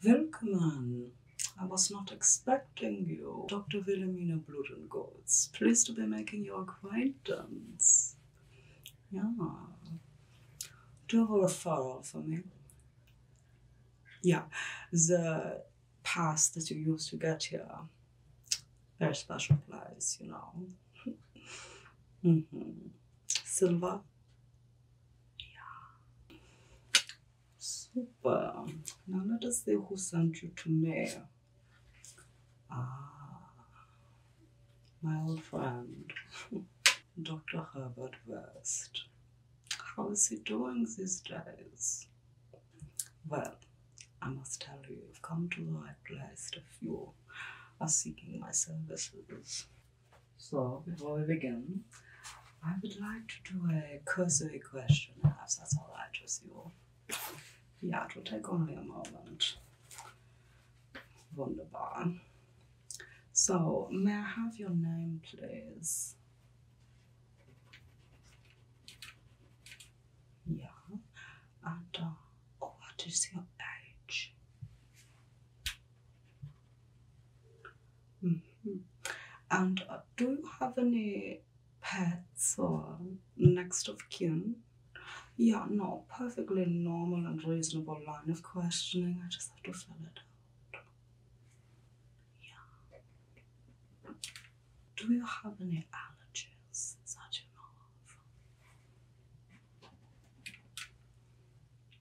Willkommen. I was not expecting you. Dr. Wilhelmina Bludengolz. Pleased to be making your acquaintance. Yeah. Do you have a referral for me? Yeah. The Pass that you used to get here. Very special place, you know. mm -hmm. Silver. Yeah. Super. Now let us see who sent you to me. Ah, my old friend, Dr. Herbert West. How is he doing these days? Well, I must tell you, you've come to the right place if you are seeking my services. So, before we begin, I would like to do a cursory questionnaire, if that's all right with you. Yeah, it will take only a moment. Wunderbar. So, may I have your name, please? Yeah. And uh, what is your age? Mm-hmm. And uh, do you have any pets or next of kin? Yeah, no, perfectly normal and reasonable line of questioning. I just have to fill it out. Yeah. Do you have any allergies that you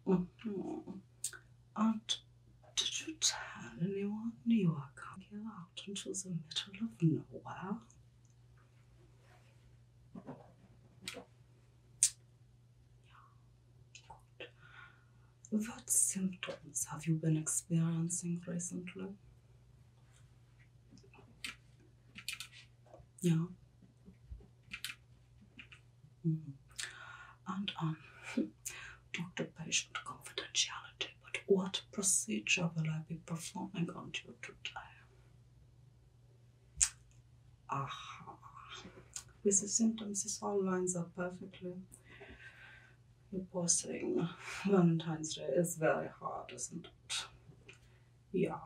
know of? Mm And did you tell anyone you were coming out into the middle of nowhere? What symptoms have you been experiencing recently? Ja. Mm-hmm. And on um, doctor patient confidentiality, but what procedure will I be performing on you today? Aha. With the symptoms, this all lines up perfectly. Your poor thing, Valentine's Day is very hard, isn't it? Yeah.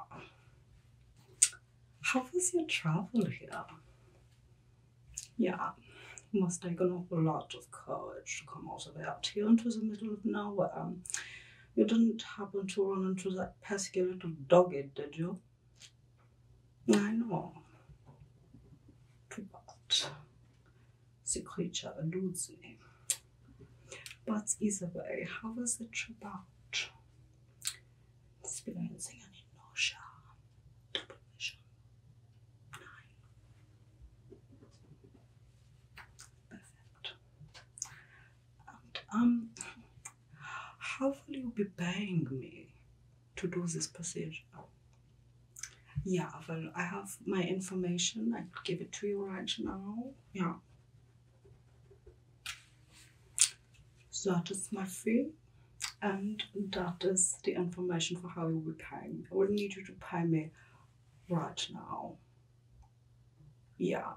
How was your travel here? Yeah, must have an a lot of courage to come all the way out here into the middle of nowhere. Um, you didn't happen to run into that pesky little doggy, did you? I know. But eludes me, But Isabel, how was the trip out? Experiencing an inertia, nine. Perfect. um, how will you be paying me to do this procedure? Yeah, well, I have my information. I could give it to you right now. Yeah. that is my fee and that is the information for how you will pay me. I will need you to pay me right now. Yeah.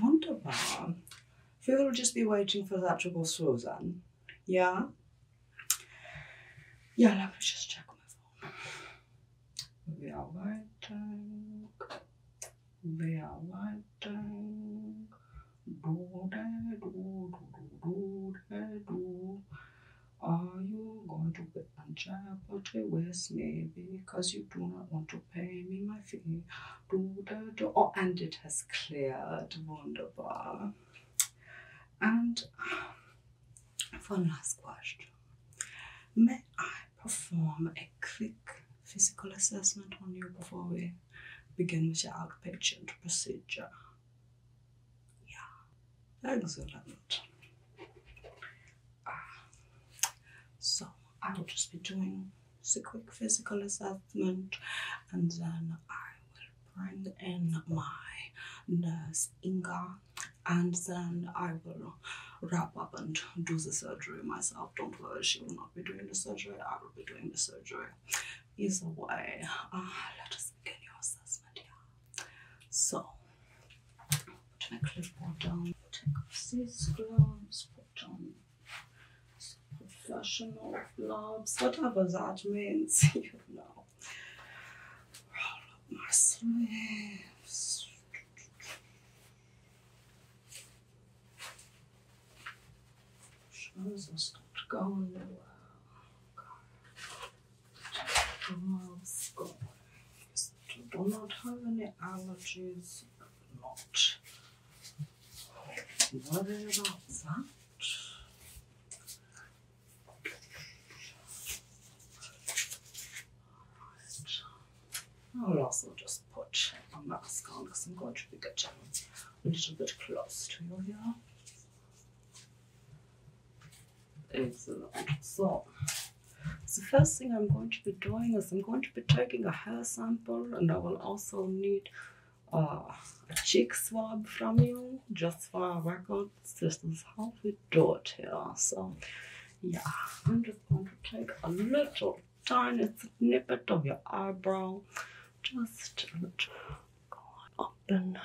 Wunderbar. We will just be waiting for that to go through then. Yeah? Yeah, let me just check my phone. Bearbeitung, Bearbeitung, do da do do do do da do. Are you going to get uncharitable with me because you do not want to pay me my fee? Do da do. Oh, and it has cleared. Wunderbar. And one last question. May I perform a quick physical assessment on you before we begin with your outpatient procedure? Yeah, excellent. Uh, so, I will just be doing just a quick physical assessment and then I will bring in my nurse Inga and then I will wrap up and do the surgery myself. Don't worry, she will not be doing the surgery, I will be doing the surgery. Either way, uh, let us begin your assessment. Yeah. So, put my clipboard down, take off these gloves, put on professional gloves, whatever that means, you know roll up my sleeves. Shows us not going well. God. Do not have any allergies. Not worry about that. I oh, will also just put a mask on because I'm going to be getting a little bit close to you here. Excellent. So, the first thing I'm going to be doing is I'm going to be taking a hair sample and I will also need uh, a cheek swab from you just for a record distance how we do it here. So yeah, I'm just going to take a little tiny snippet of your eyebrow, just go on up and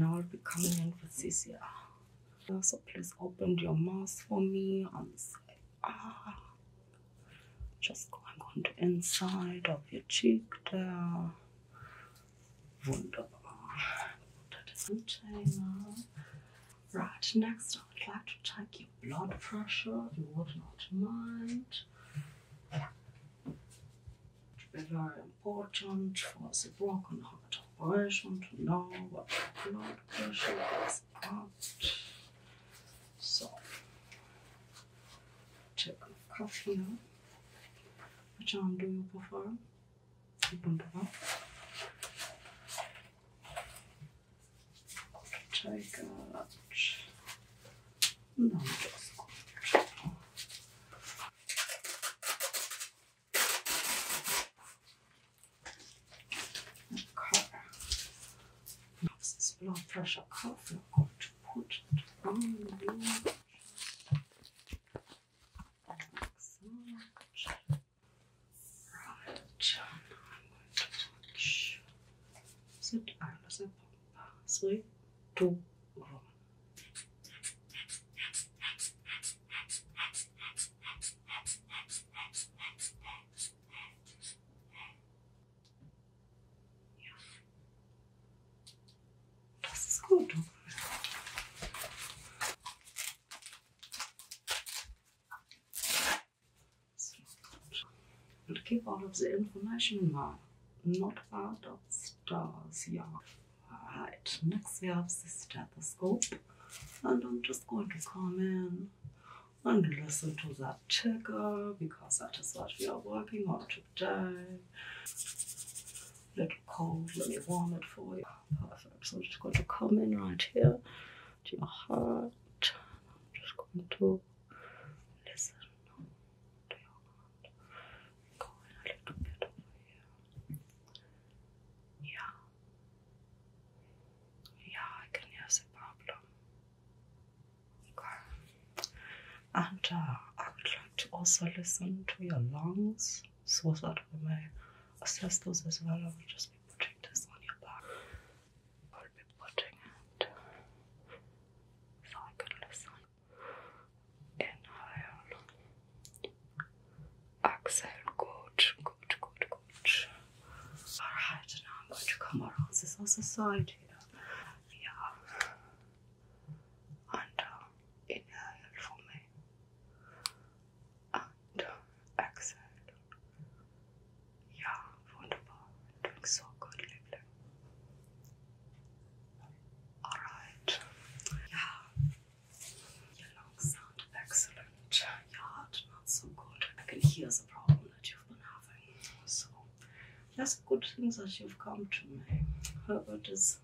now I'll be coming in here. Also, please open your mouth for me and say, ah. Just going on the inside of your cheek there. Wonderful. Ah. Right, next I would like to check your blood pressure, you would not mind. It be very important for the broken heart I just want to know what my blood pressure is at. So, take a coffee. here. Which arm do you prefer? You don't know. Take out. No, Okay. Das ist Blood Pressure Coffee. Gut, gut. Sit ein, das ist ein Pumper. Three, two, one. Das ist gut. will keep all of the information now, not about of stars, yeah. Alright, next we have the stethoscope, and I'm just going to come in and listen to that ticker because that is what we are working on today. Little cold, let me warm it for you. Perfect. So I'm just going to come in right here to your heart. I'm just going to listen to your heart. Go in a little bit over here. Yeah, Ja, I can hear the problem. Okay. And I would like to also listen to your lungs so that we may assess those as well. I will just be putting this on your back. I will be putting it so I can listen. Inhale. Excellent, good, good, good, good. Alright, now I'm going to come around this other side here. Yeah. And inhale for me. And exhale. Yeah, wonderful. Doing so good, lovely. Alright. Yeah. Your lungs sound excellent. Your heart not so good. I can hear the problem that you've been having. So that's good things that you've come to me. Herbert is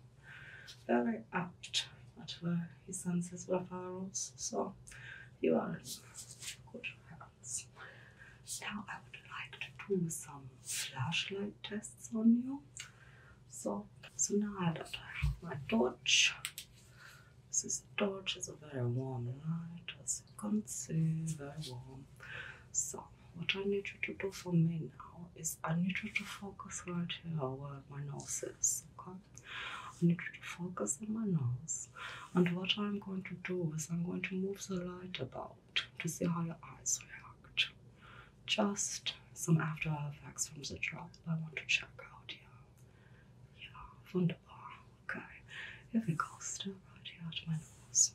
very apt at where he sends his referrals. So you are in good hands. Now I would like to do some flashlight tests on you. So so now that I have my torch, this torch is a very warm light, as you can see, very warm. So, what I need you to do for me now is I need you to focus right here on my nose okay? I need you to focus on my nose. And what I'm going to do is I'm going to move the light about to see how your eyes react. Just some after effects from the trial. I want to check out here. Ja, wunderbar. Okay. Ja, wir kosten right here at my nose.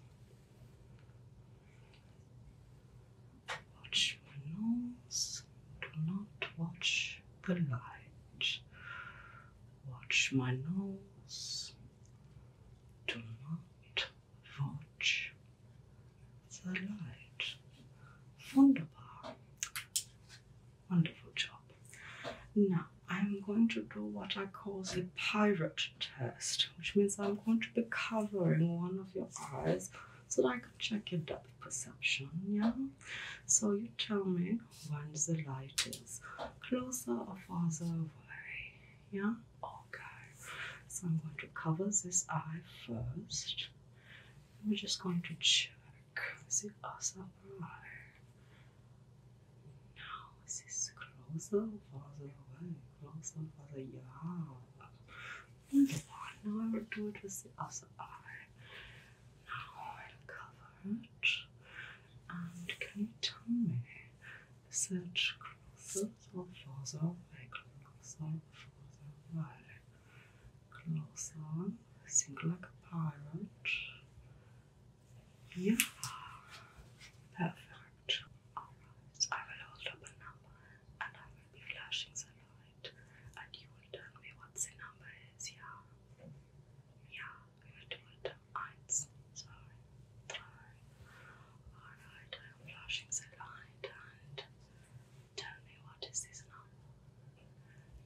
Watch my nose. Do not watch the light. Watch my nose. Do not watch the light. Wunderbar. Wonderful job. Now, I'm going to do what I call the pirate test, which means I'm going to be covering one of your eyes so that I can check your depth perception. Yeah? So you tell me when the light is closer or farther away. Yeah? Okay. So I'm going to cover this eye first we're just going to check. Is it also right? No, this is closer, farther away, closer, farther. Yeah. Move on. Now I will do it with the other eye. Now I will cover it. And can you tell me, is it closer or farther away? Closer, farther away clothes on, sing like a pirate. Yeah, perfect. Alright, I will hold up a number and I will be flashing the light, and you will tell me what the number is. Yeah, yeah, we will do it. Eins, zwei, drei. Alright, I am flashing the light and tell me what is this number.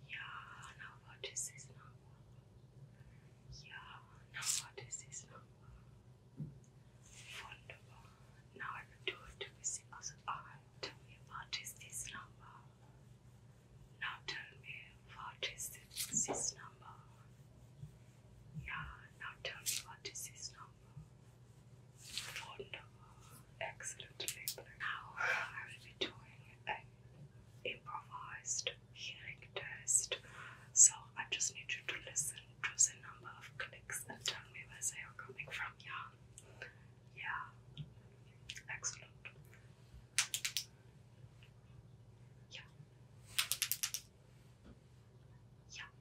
Yeah, now what is this number? Yeah, now what is this number? Wonderful. Now I will do it every single eye. Tell me what is this number? Now tell me what is this, this number? Yeah, now tell me what is this number? Wonderful. Excellent label. Now I will be doing an improvised hearing test. So I just need you to listen to the number of clicks and tell me where they are coming from. Yeah. Yeah. Excellent. Yeah. Yeah.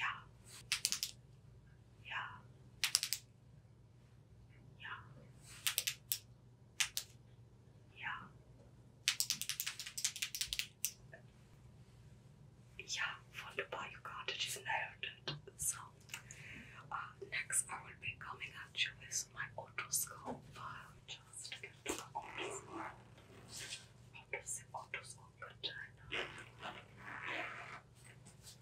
Yeah. Yeah. Yeah. Yeah. Yeah, wunderbar, you got it, you nailed it. So, uh, next I will be coming at you with my otoscope. I'll just get to Plus, I will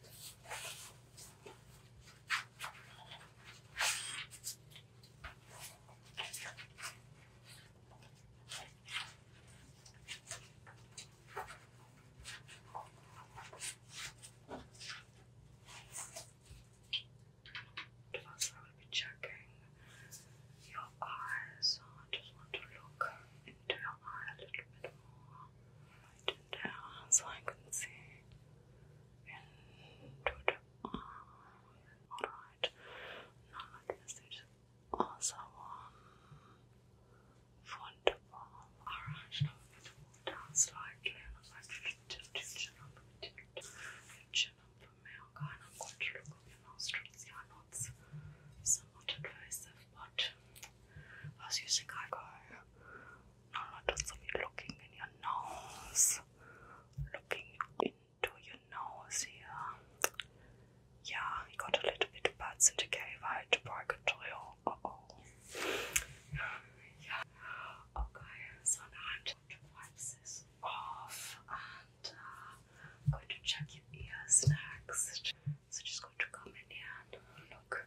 be checking your eyes. I just want to look into your eye a little bit more so I can see into the arm. Alright, now this is also one for the palm. Alright, now we need to move down slightly and I'm going to tilt your chin up a bit. Your chin up for me, okay? And I'm going to look at your nostrils. They are not somewhat invasive, but as you think I go, I'm not just looking in your nose, looking into your nose here. Yeah, you got a little bit of bad syndicate, right? Purgatorial. Uh oh. yeah. Okay, so now I'm going to wipe this off and uh, going to check your ears next. So just going to come in here and look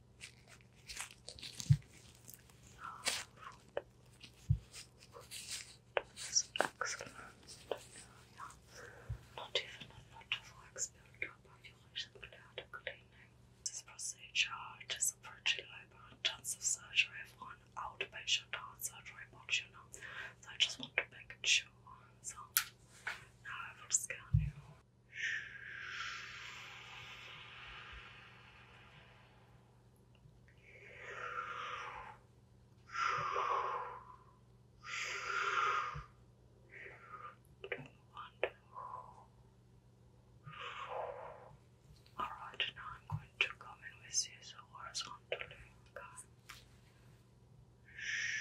Food. is excellent. Not even a lot of works built up of your cleaning. This procedure is a pretty labor-intensive surgery for an outpatient surgery box, you know. So I just want to make sure. So now I will scan you. Alright, now I'm going to come in with this horizontally. Okay. Shh.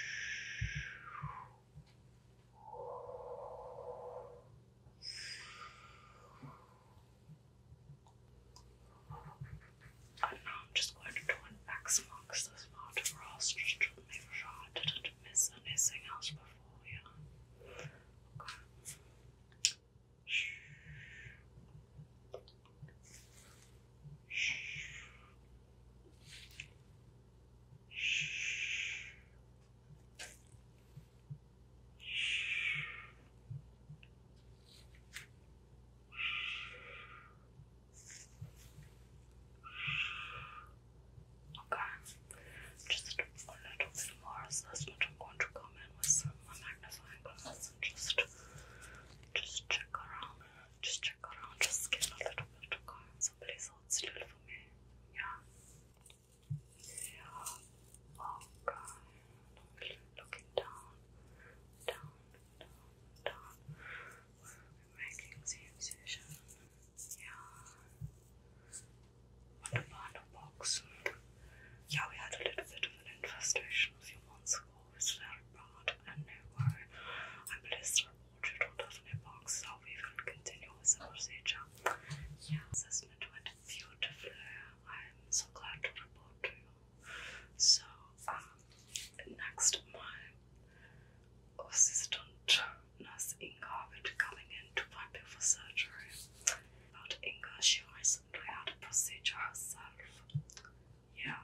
I I'm just going to try and wax marks this part of make sure I didn't miss anything else before, yeah. Okay. Shh. Shh. Shh. Okay, just a little bit more. So that's I'm going to come in with some magnifying glass and just, just check around, just check around, just scan a little bit. Okay, so please hold still for me. Yeah. Oh god, looking down, down, down, down. We're making the incision. Yeah. What about a box? Yeah, we had a little bit of an infestation a few months ago. It's very bad, and now I placed our portrait out of a box, so we will continue with the procedure. Yeah, it went beautifully. I'm so glad to report to you. So, um, next, my assistant nurse Inga will be coming in to prepare for surgery. But Inga, she recently do a procedure herself. Yeah,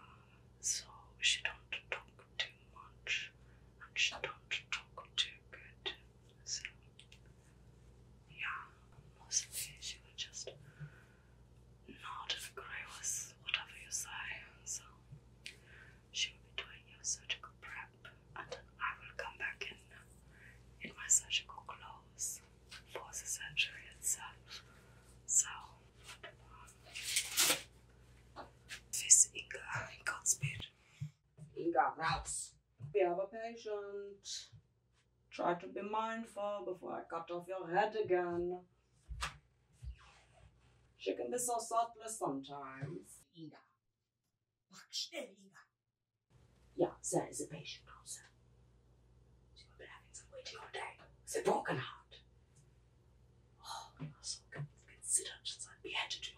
so she don't talk too much and she don't talk too good. So yeah, mostly she would just not agree with whatever you say. So she would be doing your surgical prep, and I will come back in in my surgical clothes for the surgery itself. So face um, Inga in Godspeed. Inga routes be ever patient. Try to be mindful before I cut off your head again. She can be so thoughtless sometimes. Inga. Bak schnell, Inga. Ja, there is a patient also. She will be having some waiting all day. It's a broken heart. Oh, you are so considerate since I beheaded you.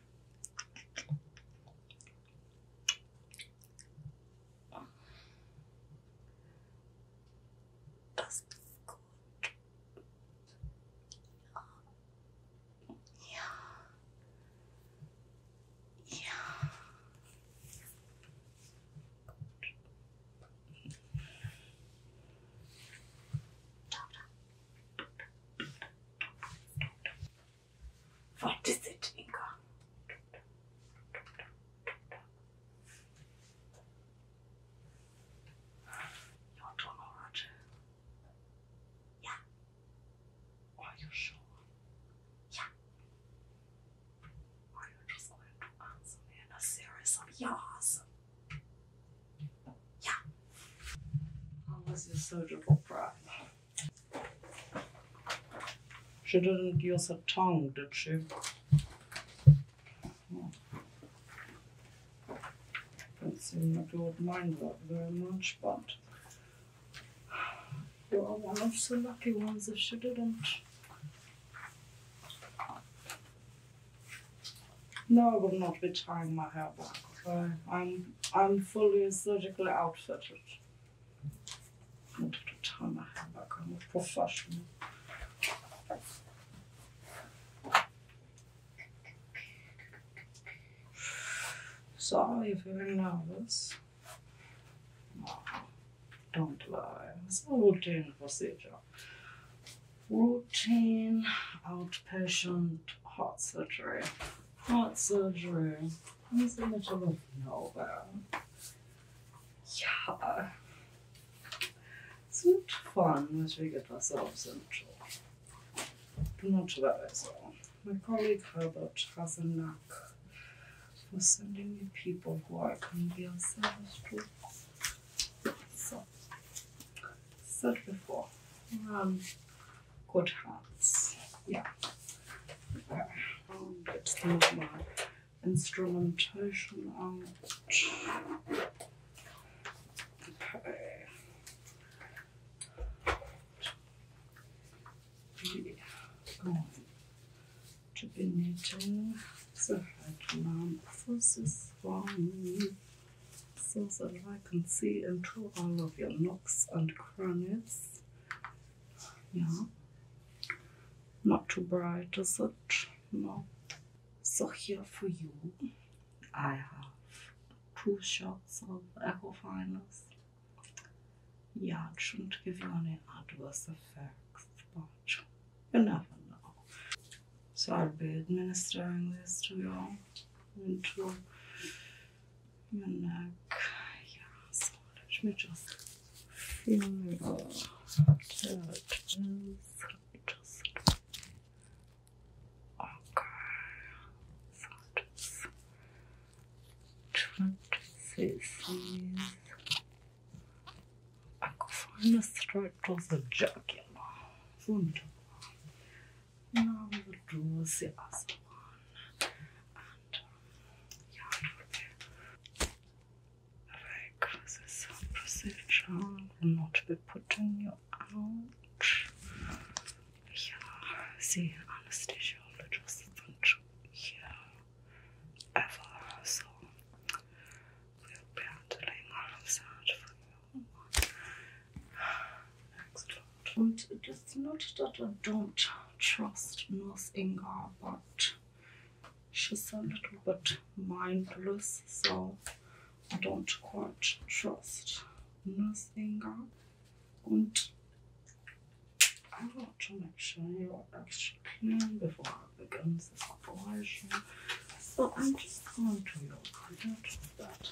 That's good. Yeah. Yeah. What is it, Inga? You don't know, Roger? Yeah. Are you sure? Yeah. Are you just going to answer me in a series of yes? Yeah. How was your surgical problem? She didn't use her tongue, did she? Oh. Don't seem like you mind that very much, but you are one of the lucky ones if she didn't. No, I will not be tying my hair back. I'm I'm fully surgically outfitted. Not at the time I have back. am a professional. Sorry if you're nervous. don't lie. It's a routine procedure. Routine outpatient heart surgery. Not so heart surgery. Here's a little of Nova. Ja. Es wird fun, when we get ourselves into. that as well. My colleague Herbert has a knack for sending me people who are can be of service So, said before, um, good hearts. Yeah. I'll get some of my instrumentation out. Okay. We are going to be needing the headlamp for this one so that I can see into all of your nooks and crannies. Yeah. Not too bright, is it? No. So here for you, I have two shots of Ecofinus. Yeah, it shouldn't give you any adverse effects, but you never know. So I'll be administering this to you into your neck. Yeah, so let me just feel your touches. Just okay. So just twenty cc's. I could find a straight to the jacket now we will do the other one and uh, yeah it will be like this procedure will not be putting you out yeah the anesthesiologist won't hear ever so we'll be handling all of that for you and it is not that I don't trust Nurse Inga, but she's a little bit mindless, so I don't quite trust Nurse Inga. And I want to make sure you're extra clean before I begin this operation. So I'm just going to your credit that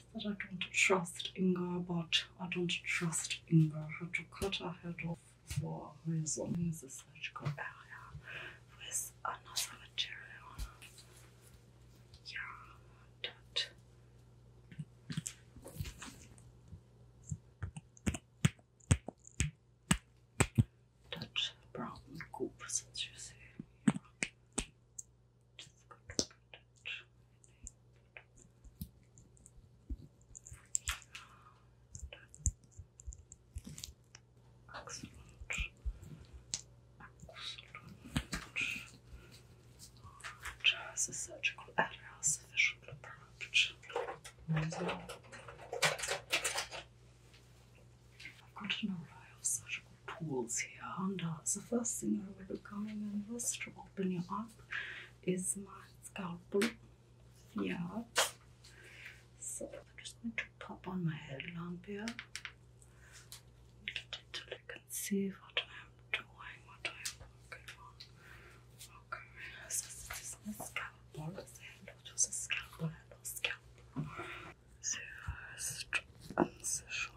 that I don't trust Inga, but I don't trust Inga. Had to cut her head off for a reason in the surgical area with another material. Yeah, that. That brown goop that you see. Yeah. Excellent. Excellent. Just a surgical error, sufficient approach. I've got an array of surgical tools here, and uh, the first thing I will be coming in was to open you up is my scalpel. Yeah. So I'm just going to pop on my headlamp here. Get it till can see what I'm doing, what I'm working on. Okay, so this is my scalpel. Say hello the scalpel. Hello, scalpel. First incision.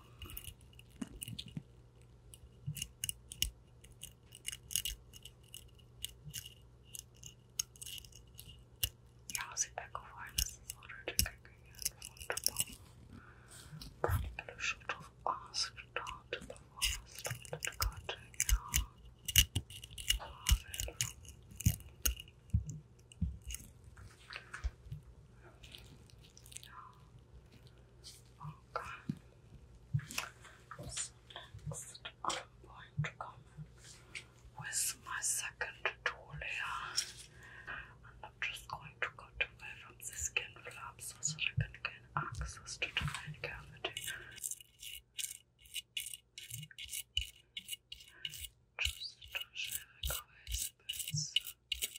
Ja, sieht eingefallen, dass das auch der Deckel Wunderbar. Probably should have asked that before I started cutting. Yeah. Love it next, I'm going to come with my second tool here, I'm not just going to go cut away from the skin flaps so that I can gain access to the main cavity. Just to shave away the bits. Okay.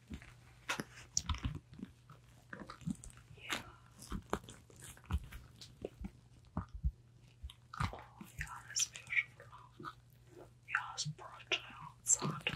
Yeah. Oh ja, das ist mir schon klar. Ja, es bräuchte just going to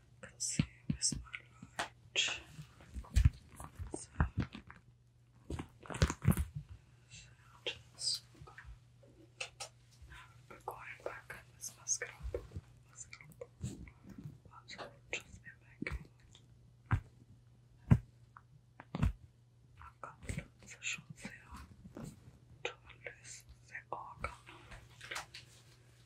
consume is my light. So, so I'm going back on this mascara. mascara. That's what i just been making. I've got lots of oh,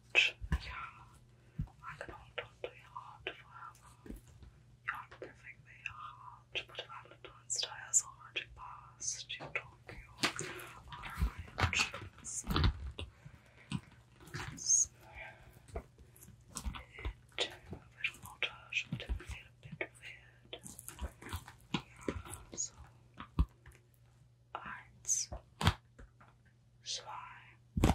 much. Yeah, I can hold on to your heart forever. You're not perfectly your heart, but Valentine's Day has already passed. You Tokyo are orange inside. Yes. It will not hurt, but it will a bit weird. Yeah, so. Eins, zwei,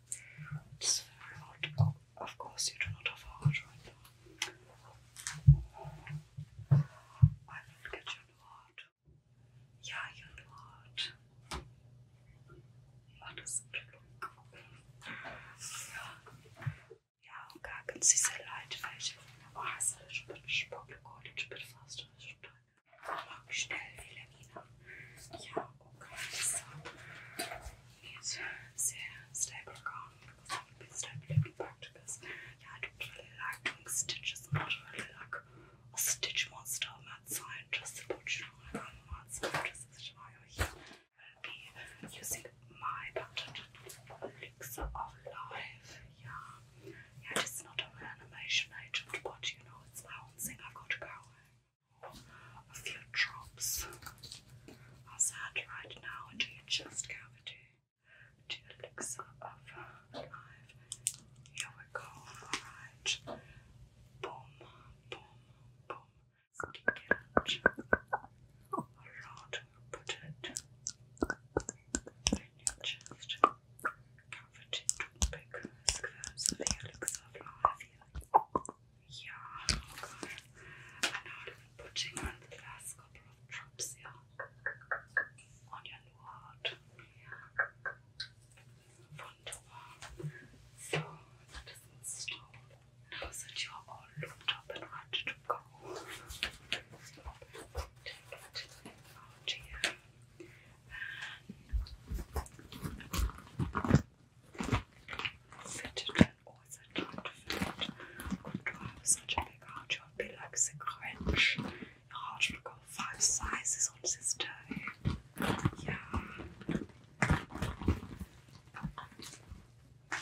Oh, of course, you do not have a heart right now. I will get you heart. Yeah, your heart. How does it look? Ja, och kanske se så light fashion. Vad har så lite språkligt och lite fast och sånt. Schnellfehlermine. Ja, och vissa med stäborgan och really like stitches and not really like a stitch monster on that side, just know, i on not side, just such a here. I'll be using my pattern elixir of life. Yeah. Yeah, it's not an animation agent, but you know, it's my I've got to go a few drops as I had right now into your chest cavity to elixir of life. Here we go, alright. Boom, boom, boom. Stick it a lot. Put it in your chest cavity to pick squares elixir of life. Yeah, I'm putting on the last couple of drops here on your heart. Yeah. Wonderful. So that doesn't stop. Now that you're all up and ready to go, fidgeted always had time to fidget. Couldn't have such a big heart? You would be like a Grinch. Your heart would go five sizes on this day. Yeah.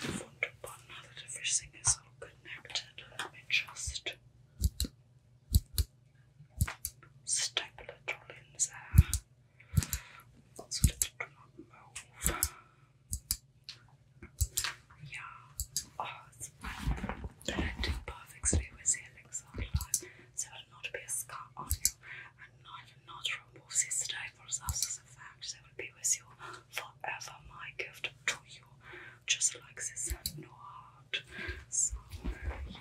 Wunderbar, now that everything is all connected, let just staple it all there. Lots of little drop Yeah. Oh, it's blending perfectly with the elixir life. So it will not be a scar on you and neither not remove this for substance effect. They will be with you forever. My gift to you. Just like this. No heart. yeah.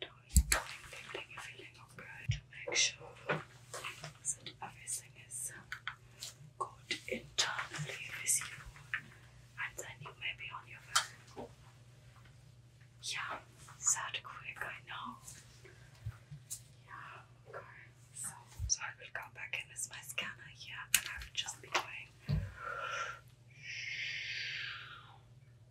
tongue, tingling, tingling, feeling of to make sure that everything is good internally with you, and then you may on your way. Yeah, that quick, I know. Yeah, So, I will go back in my scanner here, and I will just be going.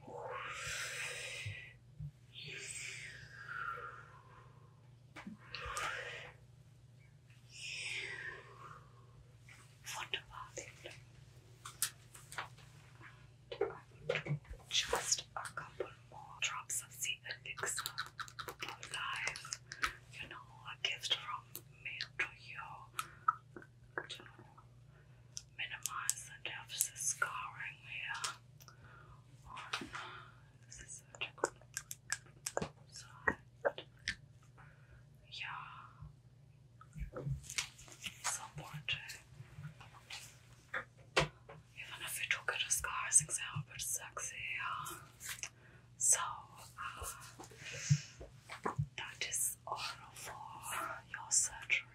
What just a couple more drops of sea elixir for life. You know, a gift from me to you to minimize the of scarring here this is surgical side. Yeah. It's important. Even if you took it as cars example, it's sexy, yeah. So uh, that is all for your surgery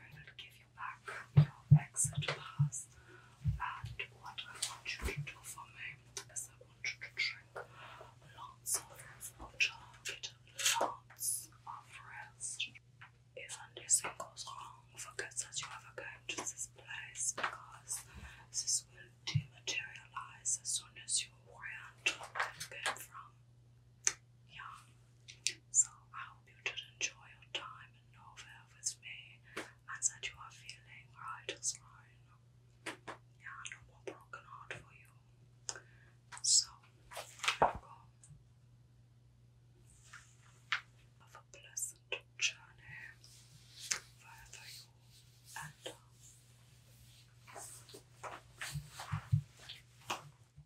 give you your exit pass. And what I want you to do for me is I want you to drink lots of water, lots of rest. If anything goes wrong, forget that you ever came to this place because this will dematerialize as soon as you orient where you came from. Yeah. So I hope you did enjoy your time in Norway with me and that you are feeling right as mine. Yeah, no more broken heart for you. So, Have a pleasant journey wherever you end up.